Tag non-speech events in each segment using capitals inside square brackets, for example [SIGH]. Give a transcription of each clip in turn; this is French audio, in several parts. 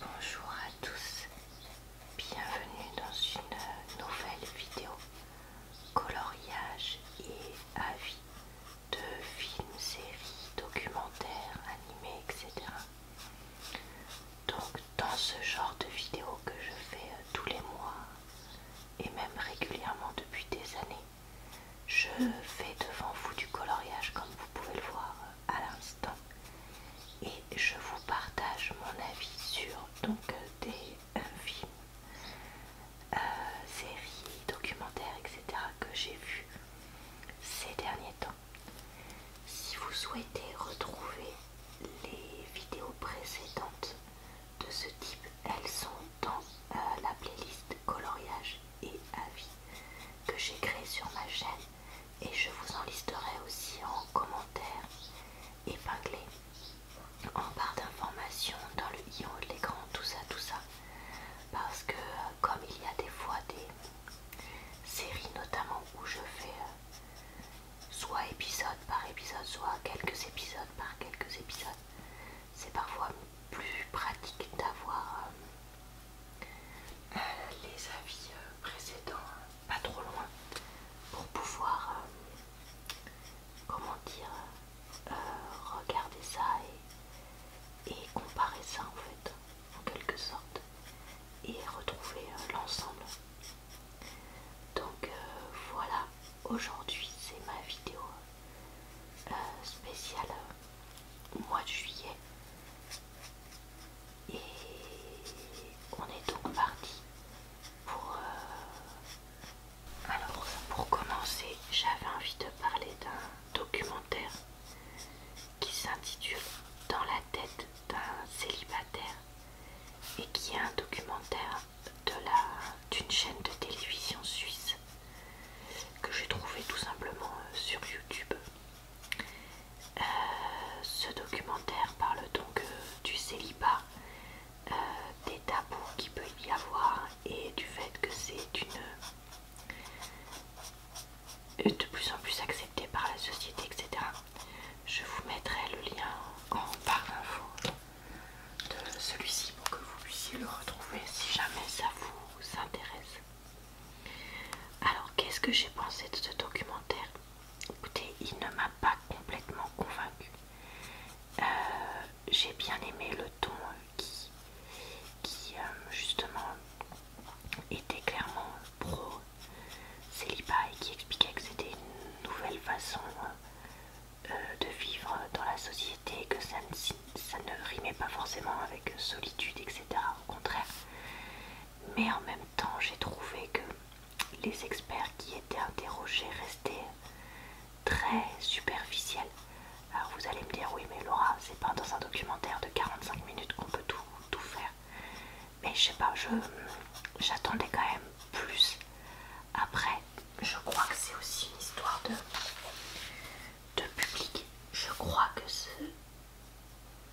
Bonjour à tous, bienvenue dans une nouvelle vidéo coloriage et avis de films, séries, documentaires, animés, etc. Donc dans ce genre de vidéo que je fais euh, tous les mois et même régulièrement depuis des années, je fais devant vous du coloriage comme vous pouvez le voir à l'instant et je vous partage mon avis sur donc euh, des euh, films, euh, séries, documentaires, etc. que j'ai vu ces derniers temps. Si vous souhaitez retrouver les vidéos précédentes de ce type, elles sont dans la playlist coloriage et avis que j'ai créé sur ma chaîne et je vous en listerai aussi en commentaire épinglé en barre d'informations dans le i de l'écran, tout ça, tout ça. Parce que euh, comme il y a des fois des séries notamment où je fais euh, soit épisode par épisode, soit quelques épisodes par quelques épisodes, c'est parfois plus pratique d'avoir euh, euh, les avis euh, précédents hein, pas trop loin pour pouvoir euh, comment dire regarder ça et, comparer ça en fait en quelque sorte et retrouver l'ensemble donc voilà aujourd'hui c'est ma vidéo spéciale mois de juillet et on est donc parti pour... Euh, alors pour commencer, j'avais envie de parler d'un documentaire qui s'intitule Dans la tête d'un célibataire et qui est un documentaire d'une chaîne de télévision suisse que j'ai trouvé tout simplement euh, sur YouTube euh, ce documentaire parle donc euh, du célibat, euh, des tabous qu'il peut y avoir et du fait que c'est une de plus en plus accepté par la société, etc. Je vous mettrai le lien en barre d'infos de celui-ci pour que vous puissiez le retrouver si jamais ça vous intéresse. Alors qu'est-ce que j'ai pensé de ce documentaire Écoutez, il ne m'a pas complètement convaincue. Euh, j'ai bien aimé le ton qui, qui euh, justement était clairement pro célibat et qui expliquait que c'était une nouvelle façon euh, de vivre dans la société que ça ne, ça ne rimait pas forcément avec solitude, etc. Au contraire, mais en même temps j'ai trouvé que les experts qui étaient interrogés restaient très superficiels. Alors vous allez me dire oui mais Laura c'est pas dans un documentaire de 45 minutes qu'on peut tout, faire. Mais je sais pas, j'attendais quand même plus. Après, je crois que c'est aussi une histoire de, de public. Je crois que ce,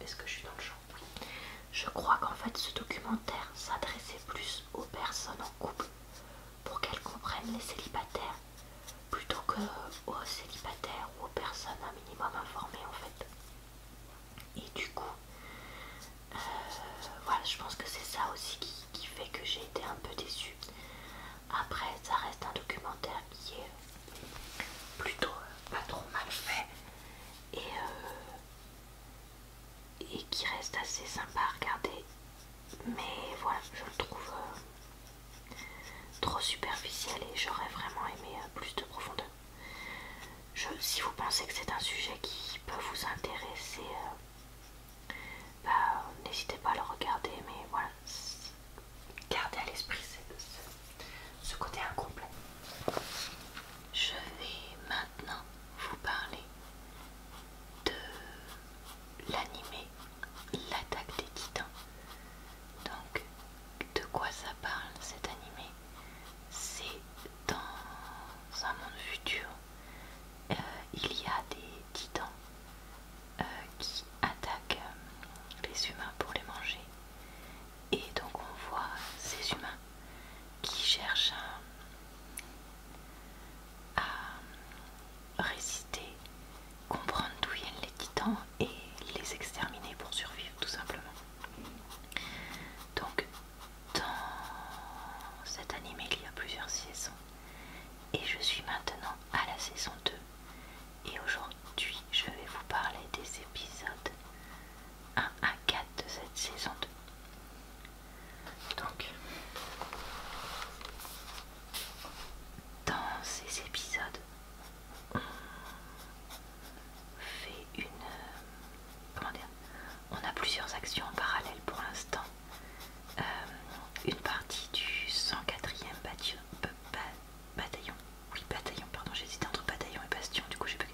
est-ce que je suis dans le champ Je crois qu'en fait ce documentaire s'adressait plus aux personnes en couple pour qu'elles comprennent les célibataires plutôt que aux célibataires ou aux personnes un minimum informées en fait. Et du coup, euh, voilà, je pense que c'est ça aussi qui, fait que j'ai été un peu déçue. Après, ça reste un documentaire qui plutôt euh, pas trop mal fait euh, et, qui reste assez sympa à regarder mais voilà je le trouve euh, trop superficiel et j'aurais vraiment aimé plus de profondeur je, si vous pensez que c'est un sujet qui peut vous intéresser bah, n'hésitez pas à le regarder mais voilà garder à l'esprit ce, côté incomplet. Je vais maintenant vous parler de l'animé L'attaque des titans. Donc, de quoi ça parle cet animé C'est dans un monde futur. Euh, il y a des titans euh, qui attaquent euh, les humains pour les manger et donc on voit ces humains qui cherchent à, résister, comprendre d'où viennent les titans et les exterminer pour survivre tout simplement. Donc dans cet anime il y a plusieurs saisons et je suis maintenant à la saison 2 et aujourd'hui je vais vous parler des épisodes 1 à 4 de cette saison 2. Donc, dans ces épisodes, on fait une. Comment dire On a plusieurs actions en parallèle pour l'instant. Euh, une partie du 104e bataillon oui, bataillon, pardon, j'hésitais entre bataillon et bastion, du coup j'ai pas.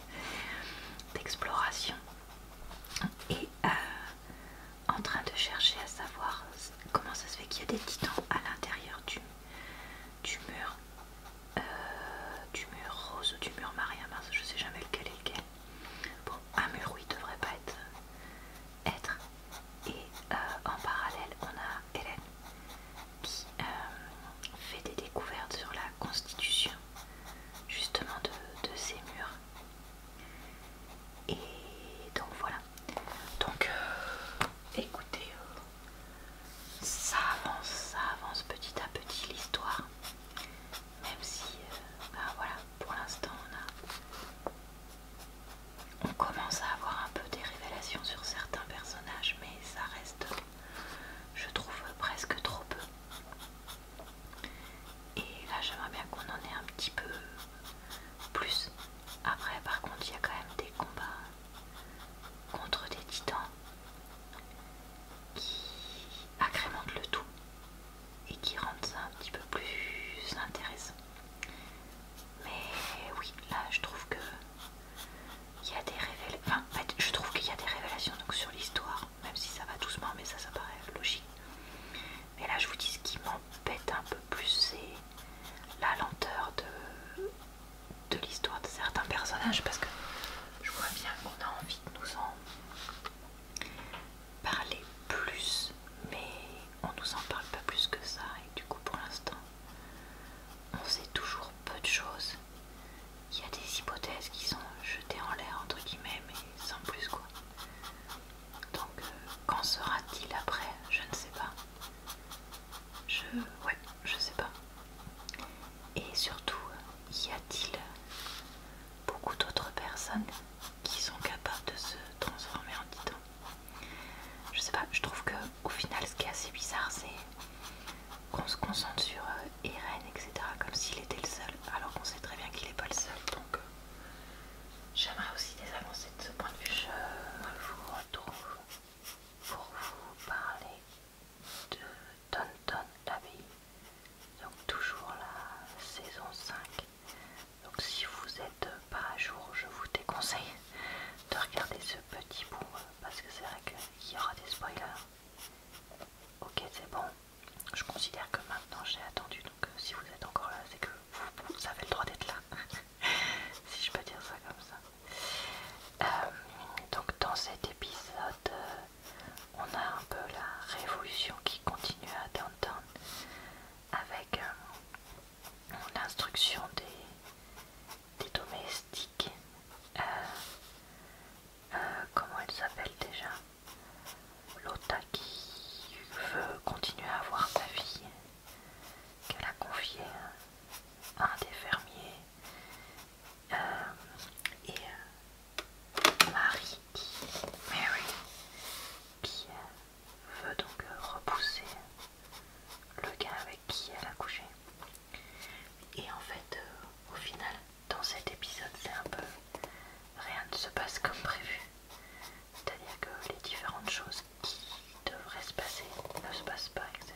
d'exploration. Et euh, en train de chercher à savoir comment ça se fait qu'il y a des titans à l'intérieur du, du mur. Euh, du mur rose ou du mur maria Mars je sais jamais lequel est lequel. Bon, un mur oui devrait pas être. Euh, être. Et en parallèle, on a Hélène euh, fait des découvertes sur la constitution justement de, ces murs. Et donc voilà. Donc euh, écoutez, euh, ça avance, ça avance petit à petit l'histoire. Même si, ben voilà, pour l'instant on a... On commence à avoir un peu des révélations sur certains personnages, mais ça reste, je trouve, presque trop peu. Et là, j'aimerais bien qu'on en ait un petit peu plus. Après, par contre, il y a quand même des combats contre des titans qui agrémentent le tout et qui rendent ça un petit peu plus intéressant. Mais oui, là, je trouve que il y a des révélations. Enfin, en fait, je trouve qu'il y a des révélations donc, sur l'histoire, même si ça va doucement, mais ça, ça paraît logique. Mais là, je vous dis ce qui m'embête un peu plus, c'est la lenteur de, de l'histoire de certains personnages, parce que je vois bien qu'on a envie de nous en parler plus, mais on nous en parle pas plus que ça, et du coup, pour l'instant, on sait toujours peu de choses. Il y a des hypothèses qui sont jetées en l'air, entre guillemets, mais sans plus quoi. Donc, euh, qu'en sera-t-il après Je ne sais pas. Je. Ouais, je sais pas. Et surtout, y a-t-il beaucoup d'autres personnes qui sont capables de se transformer en titan Je ne sais pas, je trouve que au final, ce qui est assez bizarre, c'est qu'on se concentre sur Eren, euh, etc., comme s'il était le seul, alors qu'on sait très bien qu'il n'est pas le seul. Donc, euh, j'aimerais aussi des avancées de ce point de vue. Je vous retrouve pour vous parler de Tonton l'abbaye. Donc, toujours la saison 5. Donc, si vous n'êtes pas à jour, je vous déconseille de regarder ce petit bout. Euh, parce que c'est vrai qu'il y aura des spoilers. Ok, c'est bon. Je considère que maintenant j'ai attendu, donc euh, si vous êtes encore là, c'est que vous, avez le droit d'être là. [LAUGHS] si je peux dire ça comme ça. Euh, donc dans cet épisode, euh, on a un peu la révolution qui continue à Downtown avec l'instruction des, des domestiques. Euh, euh, comment elle s'appelle déjà Lota qui veut continuer à avoir sa vie qu'elle a confiée à un des fermiers euh, et Marie qui, Mary qui veut donc repousser le gars avec qui elle a couché et en fait, euh, au final, dans cet épisode, c'est un peu rien ne se passe comme prévu. C'est-à-dire que les différentes choses qui devraient se passer ne se passent pas, etc.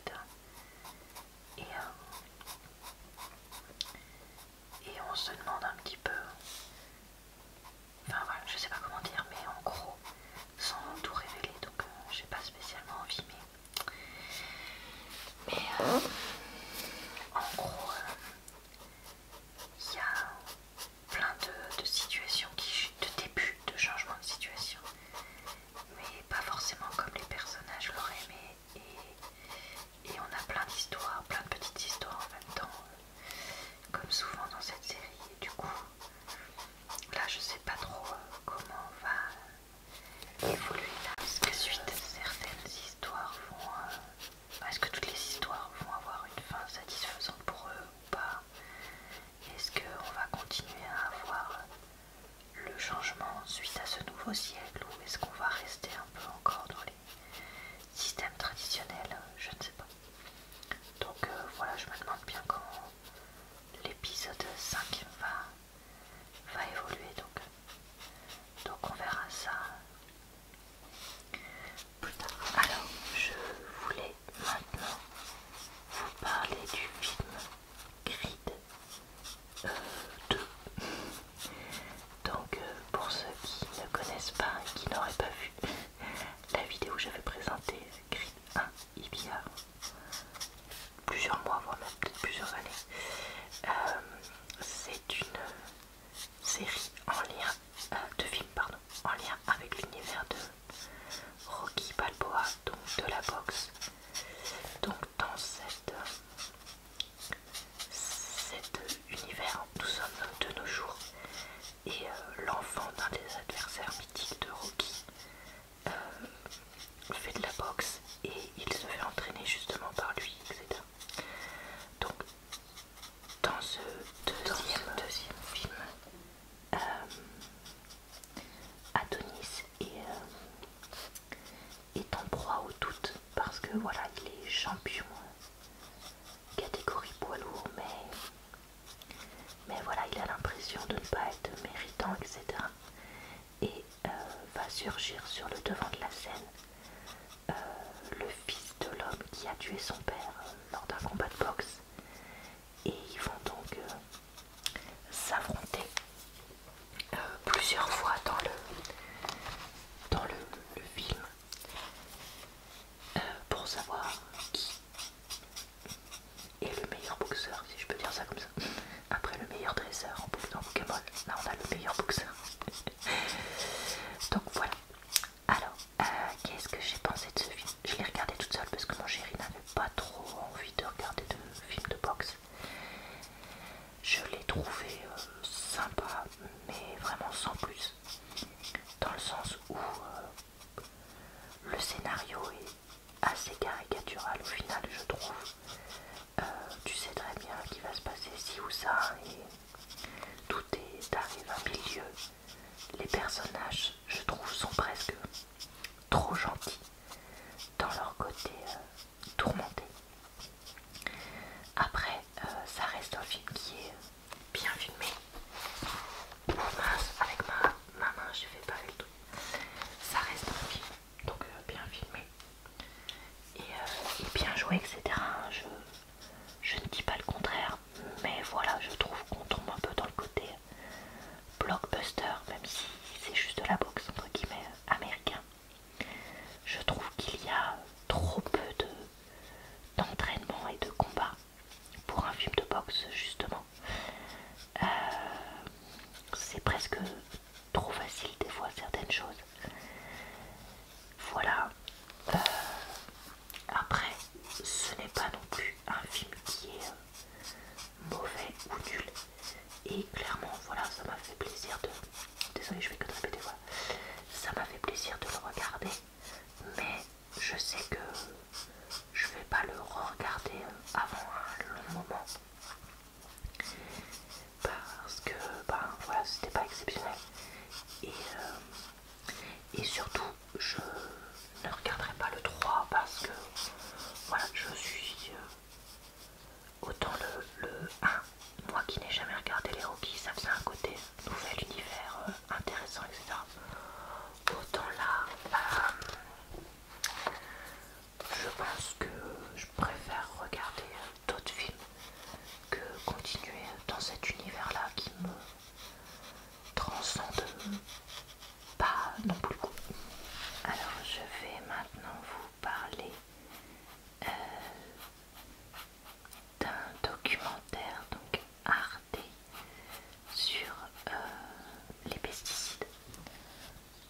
Et, euh, et on se demande un petit peu. Enfin voilà, je sais pas comment dire, mais en gros, sans tout révéler, donc euh, je n'ai pas spécialement envie, mais en gros, il y a plein de, situations, qui, de débuts de changement de situation, mais pas forcément comme les personnages l'auraient aimé. Et, et on a plein d'histoires, plein de petites histoires en même temps, euh, comme souvent dans cette série. Et du coup, Là, je sais pas trop euh, comment on va évoluer là. certaines histoires euh, Est-ce que toutes les histoires vont avoir une fin satisfaisante pour eux ou pas Est-ce qu'on va continuer à avoir le changement suite à ce nouveau siècle ou est-ce qu'on va rester un peu encore dans les systèmes traditionnels Je ne sais pas. Donc euh, voilà, je me demande bien comment l'épisode 5 va, évoluer donc donc on verra ça plus tard alors je voulais maintenant vous parler du film Grid 2 euh, donc euh, pour ceux qui ne connaissent pas et qui n'auraient pas vu la vidéo où j'avais présenté Grid 1 il y plusieurs mois, voire même peut-être plusieurs années. Euh, c'est une série en lien euh, de films pardon, en lien avec l'univers de Rocky Balboa, donc de la boxe. Donc dans cet univers, nous sommes de nos jours et euh, l'enfant d'un des adversaires mythiques de Rocky euh, il fait de la boxe et il se fait entraîner justement par lui, etc. Donc, dans ce deuxième, film, euh, Adonis euh, est, en proie aux doutes parce que voilà, il est champion catégorie poids lourd, mais mais voilà, il a l'impression de ne pas être méritant, etc. Et euh, va surgir sur le devant de la scène euh, le fils de l'homme qui a tué son père euh, lors d'un combat de boxe. Et ils vont donc s'affronter plusieurs fois dans le, film pour savoir qui et le meilleur boxeur, si je peux dire ça comme ça. Après le meilleur dresseur en Pokémon, là on a le meilleur boxeur. [LAUGHS] Donc voilà. Alors, euh, qu'est-ce que j'ai pensé de ce film Je l'ai regardé toute seule parce que mon chéri n'avait pas trop envie de regarder de films de boxe. Je l'ai trouvé euh, sympa, mais vraiment sans plus. Dans le sens où euh, le scénario est assez caricatural au final, je trouve. Euh, tu sais très bien qui va se passer ci ou ça, et tout est dans un milieu. Les personnages, je trouve, sont presque trop gentils dans leur côté euh, tourmenté. Après, euh, ça reste un film qui est bien filmé avec ma, main, je fais pas le tout, Ça reste un film, donc euh, bien filmé. Et, euh, bien joué, etc. Je, ne dis pas le contraire, mais voilà, je trouve qu'on tombe un peu dans le côté blockbuster, même si c'est juste de la boxe, entre guillemets, américain. Je trouve qu'il y a trop peu d'entraînement et de combat pour un film de boxe, justement. Euh, c'est presque trop facile des fois certaines choses. Voilà. Euh, après, ce n'est pas non plus un film qui est euh, mauvais ou nul. Et clairement, voilà, ça m'a fait plaisir de... Désolée, je vais que te répéter, voilà. Ça m'a fait plaisir de le regarder. Mais je sais que je vais pas le regarder avant un hein, long moment parce que ben c'était pas exceptionnel et, euh, et surtout je ne regarderai pas le 3 parce que voilà je suis euh, autant le, le 1 moi qui n'ai jamais regardé les rookies ça faisait un côté nouvel univers euh, intéressant etc autant là je pense que je préfère regarder d'autres films que continuer dans cet univers-là qui me transcende pas non plus le coup. Alors je vais maintenant vous parler euh, d'un documentaire donc Ardé sur euh, les pesticides.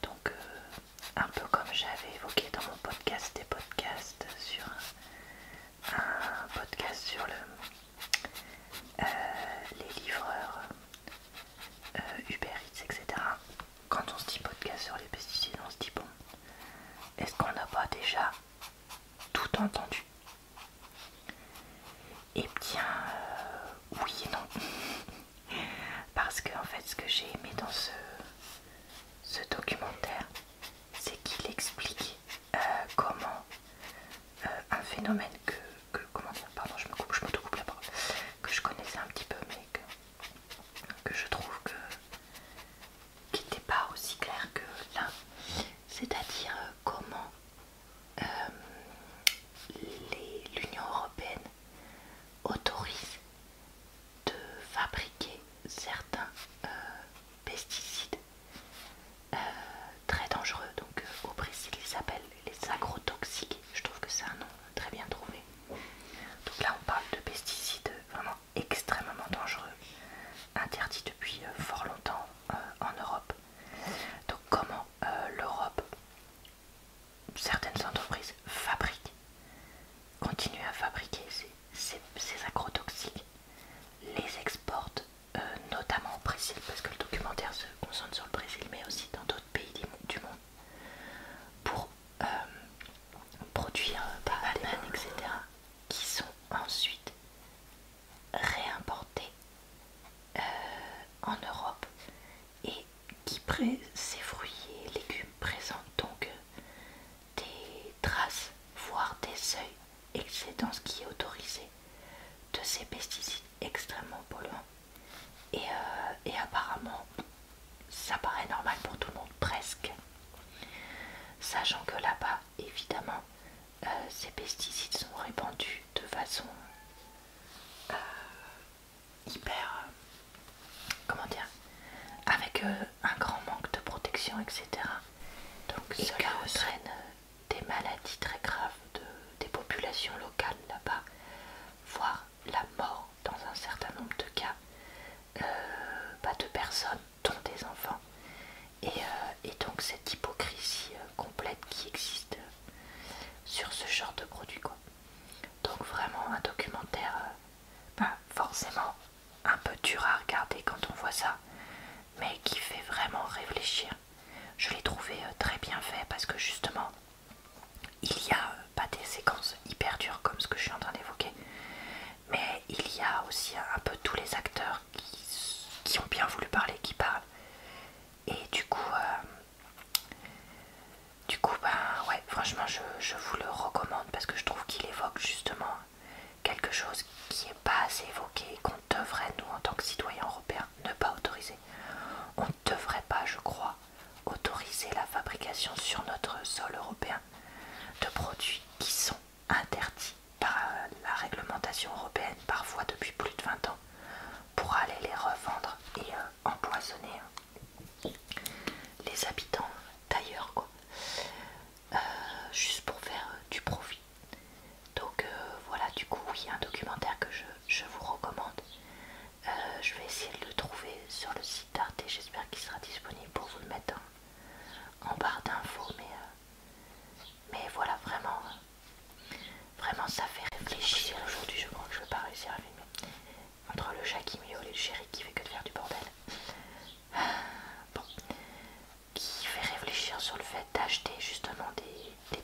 Donc, euh, un peu comme j'avais évoqué dans mon podcast des podcasts sur un, podcast sur euh, les livreurs Uber Eats, etc. Quand on se dit podcast sur les pesticides, on se dit bon, est-ce qu'on n'a pas déjà tout entendu et eh bien, euh, oui et non. [LAUGHS] Parce que, en fait, ce que j'ai aimé dans ce, documentaire, c'est qu'il explique euh, comment euh, un phénomène que. comment pardon, je me coupe, je la parole, que je connaissais un petit peu, mais que, je trouve que. qui n'était pas aussi clair que là. C'est-à-dire comment euh, l'Union Européenne autorise de fabriquer certains euh, pesticides euh, très dangereux. Donc au Brésil, ils s'appellent les agrotoxiques. Je trouve que c'est un nom très bien trouvé. Donc là, on parle de pesticides vraiment extrêmement dangereux, interdits depuis fort longtemps en Europe. Donc comment euh, l'Europe, certaines entreprises fabriquent, continuent à fabriquer ces, agrotoxiques, les exportent euh, notamment au Brésil, parce que le documentaire se concentre sur le Brésil, mais aussi dans d'autres pays du monde, pour euh, produire ah, des bananes, etc., qui sont ensuite réimportés. Euh, en Europe et qui ces fruits et légumes présentent donc des traces, voire des seuils excédents ce qui est autorisé de ces pesticides extrêmement polluants. Euh, et, apparemment, ça paraît normal pour tout le monde, presque. Sachant que là-bas, évidemment, euh, ces pesticides sont répandus de façon euh, hyper, euh, comment dire, avec euh, un grand manque de protection, etc. Donc cela entraîne des maladies très graves des populations locales là-bas, voire la mort dans un certain nombre de cas, de personnes, dont des enfants. et donc cette hypocrisie complète qui existe sur ce genre de produit quoi. Donc vraiment un documentaire euh, pas forcément un peu dur à regarder quand on voit ça mais qui fait vraiment réfléchir. Je l'ai trouvé euh, très bien fait parce que justement il y a euh, pas des séquences hyper dures comme ce que je suis en train d'évoquer mais il y a aussi un peu tous les acteurs qui, ont bien voulu parler, qui parlent et du coup du coup, ben ouais, franchement, je, vous le recommande parce que je trouve qu'il évoque justement quelque chose qui n'est pas assez évoqué et qu'on devrait, nous, en tant que citoyens européens, ne pas autoriser. On ne devrait pas, je crois, autoriser la fabrication sur notre sol européen de produits qui sont interdits par la réglementation européenne, parfois depuis plus de 20 ans pour aller les revendre et euh, empoisonner hein, les habitants d'ailleurs quoi euh, juste pour faire euh, du profit donc voilà du coup il y a un documentaire que je, vous recommande je vais essayer de le trouver sur le site d'Arte j'espère qu'il sera disponible pour vous le mettre en barre d'infos mais mais voilà, vraiment, euh, vraiment ça fait réfléchir. Aujourd'hui, je crois que je vais pas réussir à filmer. Entre le chat qui et le chéri qui fait que de faire du bordel. [SIGHS] Bon, qui fait réfléchir sur le fait d'acheter justement des,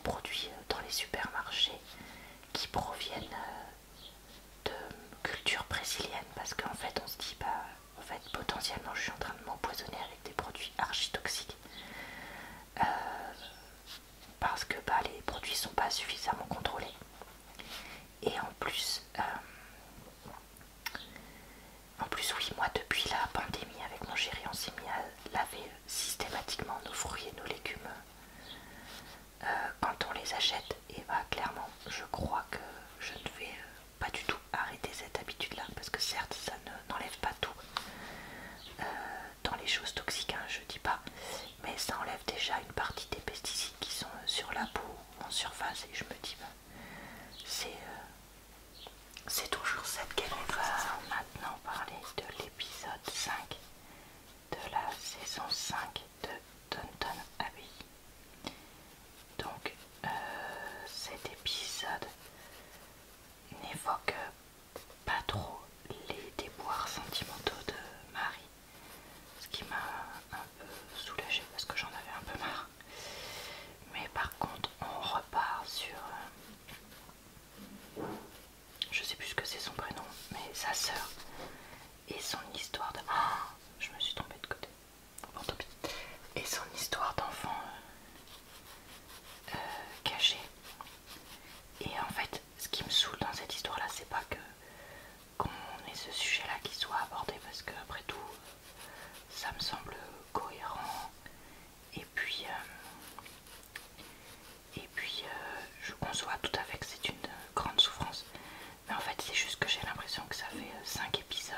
produits euh, dans les supermarchés qui proviennent euh, de culture brésilienne parce qu'en fait on se dit bah en fait potentiellement je suis en train de m'empoisonner avec des produits archi toxiques parce que bah, les produits sont pas suffisamment contrôlés et en plus euh, en plus oui moi depuis la pandémie avec mon chéri on s'est mis à laver systématiquement nos fruits et nos légumes euh, quand on les achète et bah clairement je crois que je ne vais euh, pas du tout arrêter cette habitude là parce que certes ça n'enlève pas tout dans les choses toxiques, hein, je dis pas, mais ça enlève déjà une partie des pesticides qui sont euh, sur la peau en surface et je me dis, ben, c'est toujours cette galère. On va maintenant parler de l'épisode 5 de la saison 5 de Downton Abbey. Donc euh, cet épisode n'évoque pas trop les déboires sentimentaux de Marie, ce qui m'a un peu soulagée parce que j'en avais un peu marre. Mais par contre, on repart sur. Euh, je sais plus ce que c'est son prénom, mais sa sœur et son histoire de. Ah, je me suis trompée de côté. Bon, Et son histoire d'enfant euh, euh, caché. Et en fait, ce qui me saoule dans cette histoire-là, c'est pas que qu'on ait ce sujet-là qui soit abordé, parce que après tout, ça me semble cohérent. Et puis, euh, et puis, euh, je conçois tout à fait que c'est une grande souffrance. Mais en fait, c'est juste que j'ai l'impression que ça fait 5 épisodes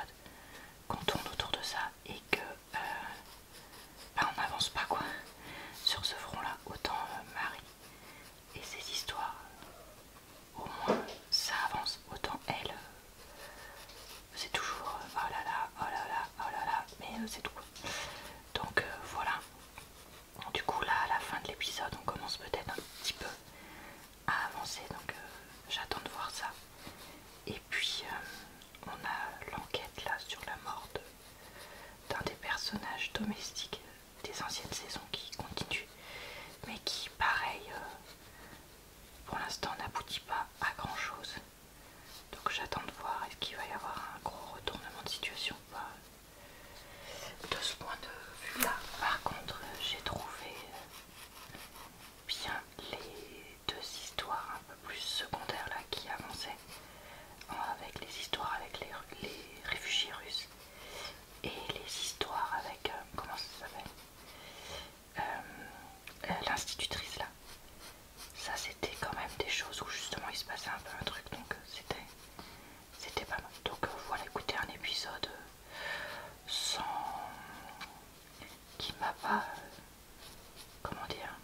qu'on tourne autour de ça et que euh, bah, on n'avance pas quoi sur ce front là autant euh, Marie et ses histoires au moins ça avance autant elle euh, c'est toujours oh là là oh là là oh là là mais c'est tout donc voilà du coup là à la fin de l'épisode on commence peut-être un petit peu à avancer donc j'attends de voir ça et puis on a l'enquête là sur la mort de d'un des personnages domestiques des anciennes saisons qui continue, mais qui, pareil, euh, pour l'instant n'aboutit pas à grand chose. Donc j'attends de voir est-ce qu'il va y avoir un gros retournement de situation ou pas. De ce point de vue-là, par contre, j'ai trouvé bien les deux histoires un peu plus secondaire là qui avançait euh, avec les histoires avec les, réfugiés russes et les histoires avec euh, comment ça s'appelle euh, l'institutrice là ça c'était quand même des choses où justement il se passait un peu un truc donc c'était c'était pas mal donc voilà écoutez un épisode sans qui m'a pas comment dire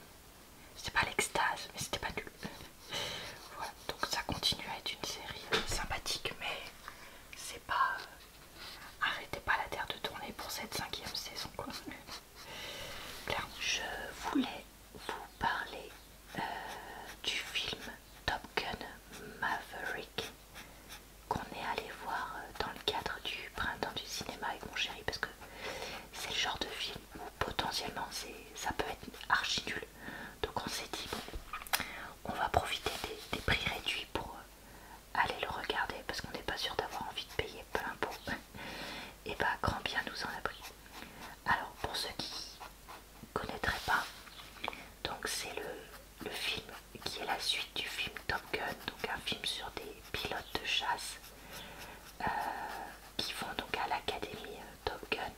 C'était pas l'extase, mais c'était pas nul. [LAUGHS] voilà, donc ça continue à être une série euh, sympathique, mais c'est pas. Euh, arrêtez pas la terre de tourner pour cette cinquième saison. [LAUGHS] je voulais vous parler euh, du film Top Gun Maverick qu'on est allé voir dans le cadre du printemps du cinéma avec mon chéri parce que c'est le genre de film potentiellement ça peut être archi nul. Donc on s'est dit, bon, on va profiter des, prix réduits pour euh, aller le regarder parce qu'on n'est pas sûr d'avoir envie de payer plein pot. [LAUGHS] Et bah, grand bien nous en a pris. Alors, pour ceux qui ne connaîtraient pas, donc c'est le, le film qui est la suite du film Top Gun, donc un film sur des pilotes de chasse euh, qui vont donc à l'académie euh, Top Gun.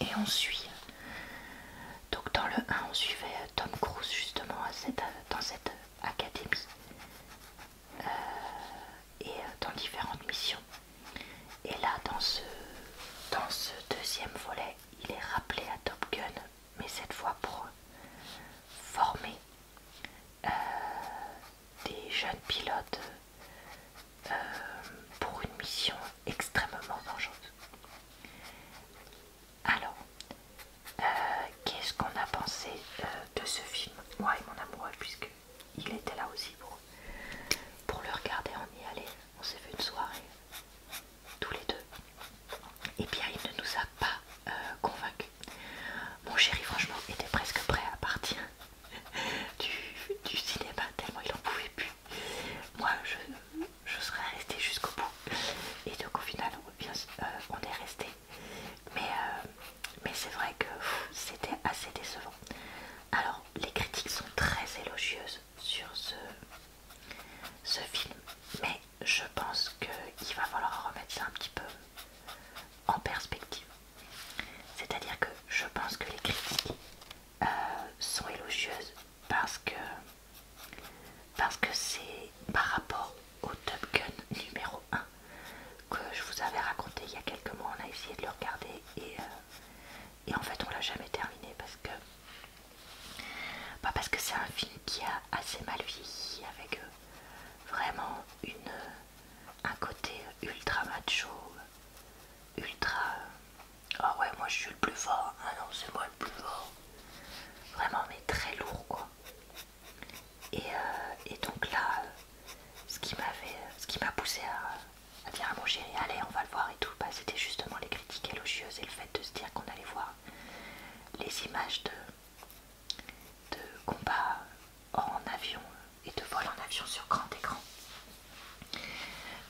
Et on suit, donc dans le 1, on suivait euh, Tom Cruise justement dans cette académie et dans différentes missions. Et là, dans ce, dans ce deuxième volet, il est rappelé à Top Gun, mais cette fois pour former des jeunes pilotes euh, pour une mission extrêmement dangereuse. Alors, euh, qu'est-ce qu'on a pensé euh, de ce film Moi et mon amoureux, puisqu'il était là aussi pour, pour le regarder, on y allait, on s'est fait une soirée, tous les deux. Et eh bien, il ne nous a pas convaincus. Mon chéri, franchement, était presque prêt à partir du, cinéma tellement il en pouvait plus. Moi je, serais restée jusqu'au bout. Et donc au final on, euh, est resté. Mais, euh, mais c'est vrai que c'était assez décevant. Alors les critiques sont très élogieuses sur ce, ce film. Mais je pense qu'il va falloir remettre ça un petit peu en perspective. C'est-à-dire que je pense que les critiques euh, sont élogieuses parce que parce que c'est par rapport au Top Gun numéro 1 que je vous avais raconté il y a quelques mois, on a essayé de le regarder et, euh, en fait on l'a jamais terminé parce que bah, parce que c'est un film qui a assez mal vieilli avec euh, vraiment une, un côté ultra macho, ultra. Ah ouais, moi je suis le plus fort. Ah non, c'est moi le plus fort. Vraiment, mais très lourd quoi. Et, euh, donc là, ce qui m'a poussé à, dire à ah, mon chéri, allez, on va le voir et tout, bah, c'était justement les critiques élogieuses et le fait de se dire qu'on allait voir les images de, de combat en avion et de vol en avion sur grand écran.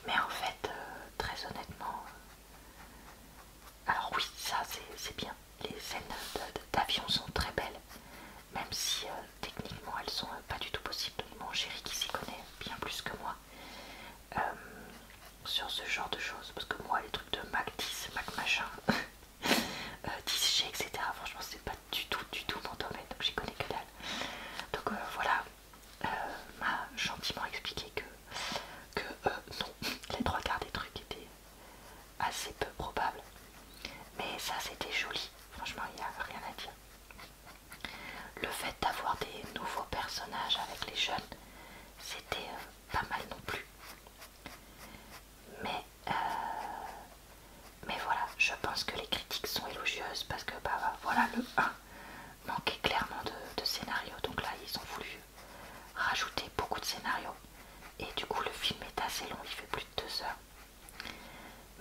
Mais en fait, euh, très honnêtement, euh, alors oui, ça c'est bien. Les scènes d'avion sont très belles, même si euh, techniquement elles sont pas du tout possibles. Mon chéri qui s'y connaît bien plus que moi sur ce genre de choses, parce que moi les trucs de Mac 10, Mac machin, [LAUGHS] 10 euh, etc. Franchement, c'est pas du tout, du tout mon domaine, donc j'y connais que dalle. Donc euh, voilà, euh, m'a gentiment expliqué que, que non, [LAUGHS] les trois quarts des trucs étaient assez peu probables. Mais ça, c'était joli, franchement, il n'y a rien à dire. Le fait d'avoir des nouveaux personnages avec les jeunes, c'était pas mal non plus. Mais euh, mais voilà, je pense que les critiques sont élogieuses parce que bah, voilà, le 1 manquait clairement de, scénario, donc là ils ont voulu rajouter beaucoup de scénarios. Et du coup, le film est assez long, il fait plus de 2 heures.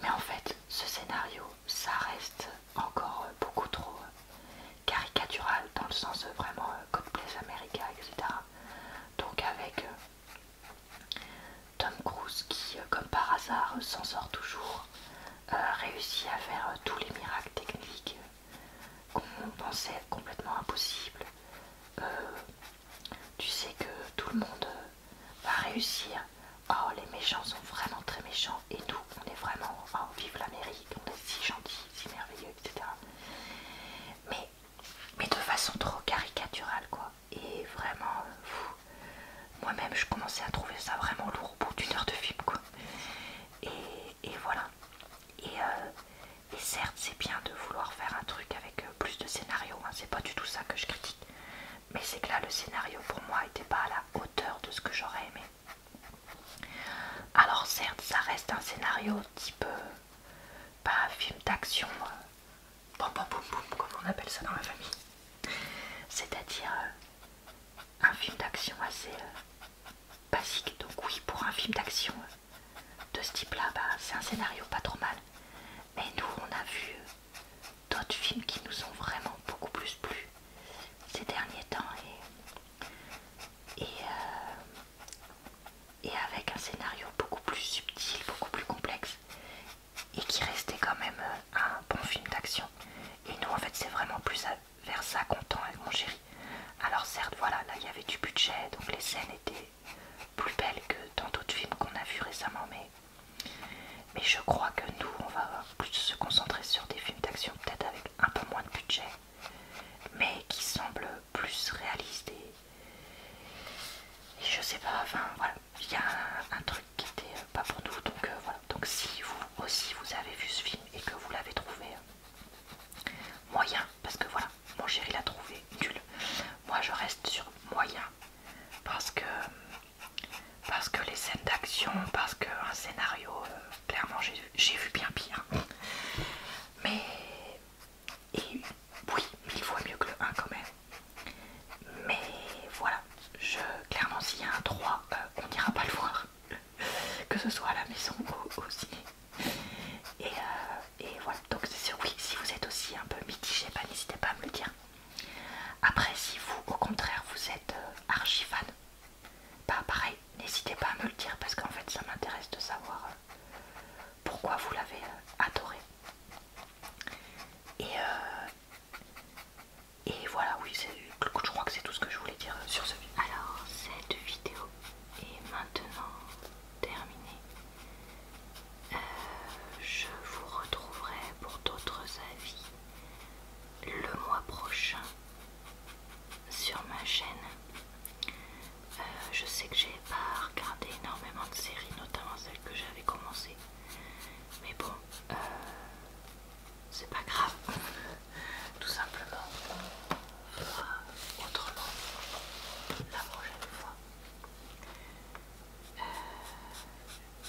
Mais en fait, ce scénario, ça reste encore beaucoup trop caricatural dans le sens vraiment God américains, etc. Donc, avec Tom Cruise qui, euh, comme par hasard, s'en sort toujours, euh, réussit à faire euh, tous les miracles techniques qu'on pensait complètement impossibles. tu sais que tout le monde va réussir. Oh, les méchants sont vraiment très méchants et nous, on est vraiment... Oh, vive l'Amérique, on est si gentils, si merveilleux, etc. Mais, mais de façon trop caricaturale, quoi et vraiment moi-même je commençais à trouver ça vraiment lourd au bout d'une heure de film quoi et, voilà euh, et, certes c'est bien de vouloir faire un truc avec euh, plus de scénario hein. c'est pas du tout ça que je critique mais c'est que là le scénario pour moi n'était pas à la hauteur de ce que j'aurais aimé alors certes ça reste un scénario type euh, pas un film d'action comme on appelle ça dans la famille. C'est-à-dire euh, un film d'action assez euh, basique. Donc oui, pour un film d'action euh, de ce type-là, bah, c'est un scénario pas trop mal. Mais nous, on a vu d'autres films qui nous ont vraiment beaucoup plus plu ces derniers temps et avec un scénario beaucoup plus subtil, beaucoup plus complexe et qui restait quand même euh, un bon film d'action. Et nous en fait c'est vraiment plus vers ça qu'on tend avec mon chéri. Alors certes voilà, là il y avait du budget, donc les scènes étaient plus belles que dans d'autres films qu'on a vus récemment, mais, mais je crois que nous on va plus se concentrer sur des films d'action peut-être avec un peu moins de budget, mais qui semblent plus réalistes et je sais pas, enfin voilà, il y a un, truc qui était euh, pas pour nous, donc euh, voilà. Donc si vous aussi vous avez vu ce film et que vous l'avez trouvé euh, moyen, parce que voilà, mon chéri l'a trouvé nul, moi je reste sur moyen, parce que parce que les scènes d'action, parce qu'un scénario, clairement j'ai vu bien pire. Mais et oui, mille fois mieux que le 1 quand même. Mais voilà, je, clairement s'il y a un 3, euh, on n'ira pas le voir. que ce soit à la maison ou au Et, euh, et voilà, donc c'est sûr, oui, si vous êtes aussi un peu mitigé, bah, n'hésitez pas à me le dire. Après, si vous, au contraire, vous êtes euh, archi fan, bah, pareil, n'hésitez pas à me le dire parce qu'en fait, ça m'intéresse de savoir pourquoi vous l'avez euh, adoré. Et, euh, et voilà, oui, je crois que c'est tout ce que je voulais dire euh, sur ce Alors, cette vidéo est maintenant terminée. je vous retrouverai pour d'autres avis le mois prochain sur ma chaîne. Euh, je sais que j'ai pas regardé énormément de séries, notamment celles que j'avais commencé, Mais bon, euh, c'est pas grave. [LAUGHS] Tout simplement, autrement la prochaine fois. Euh,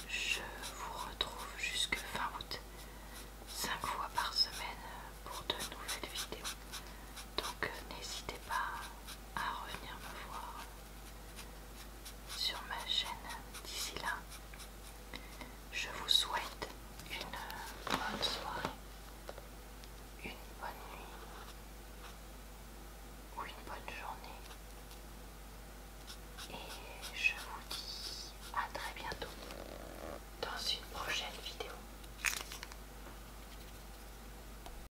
je vous retrouve jusque fin août, 5 fois par semaine pour de nouvelles vidéos. Donc n'hésitez pas à revenir me voir sur ma chaîne d'ici là. Je vous souhaite une bonne soirée, une bonne nuit ou une bonne journée. Et je vous dis à très bientôt dans une prochaine vidéo.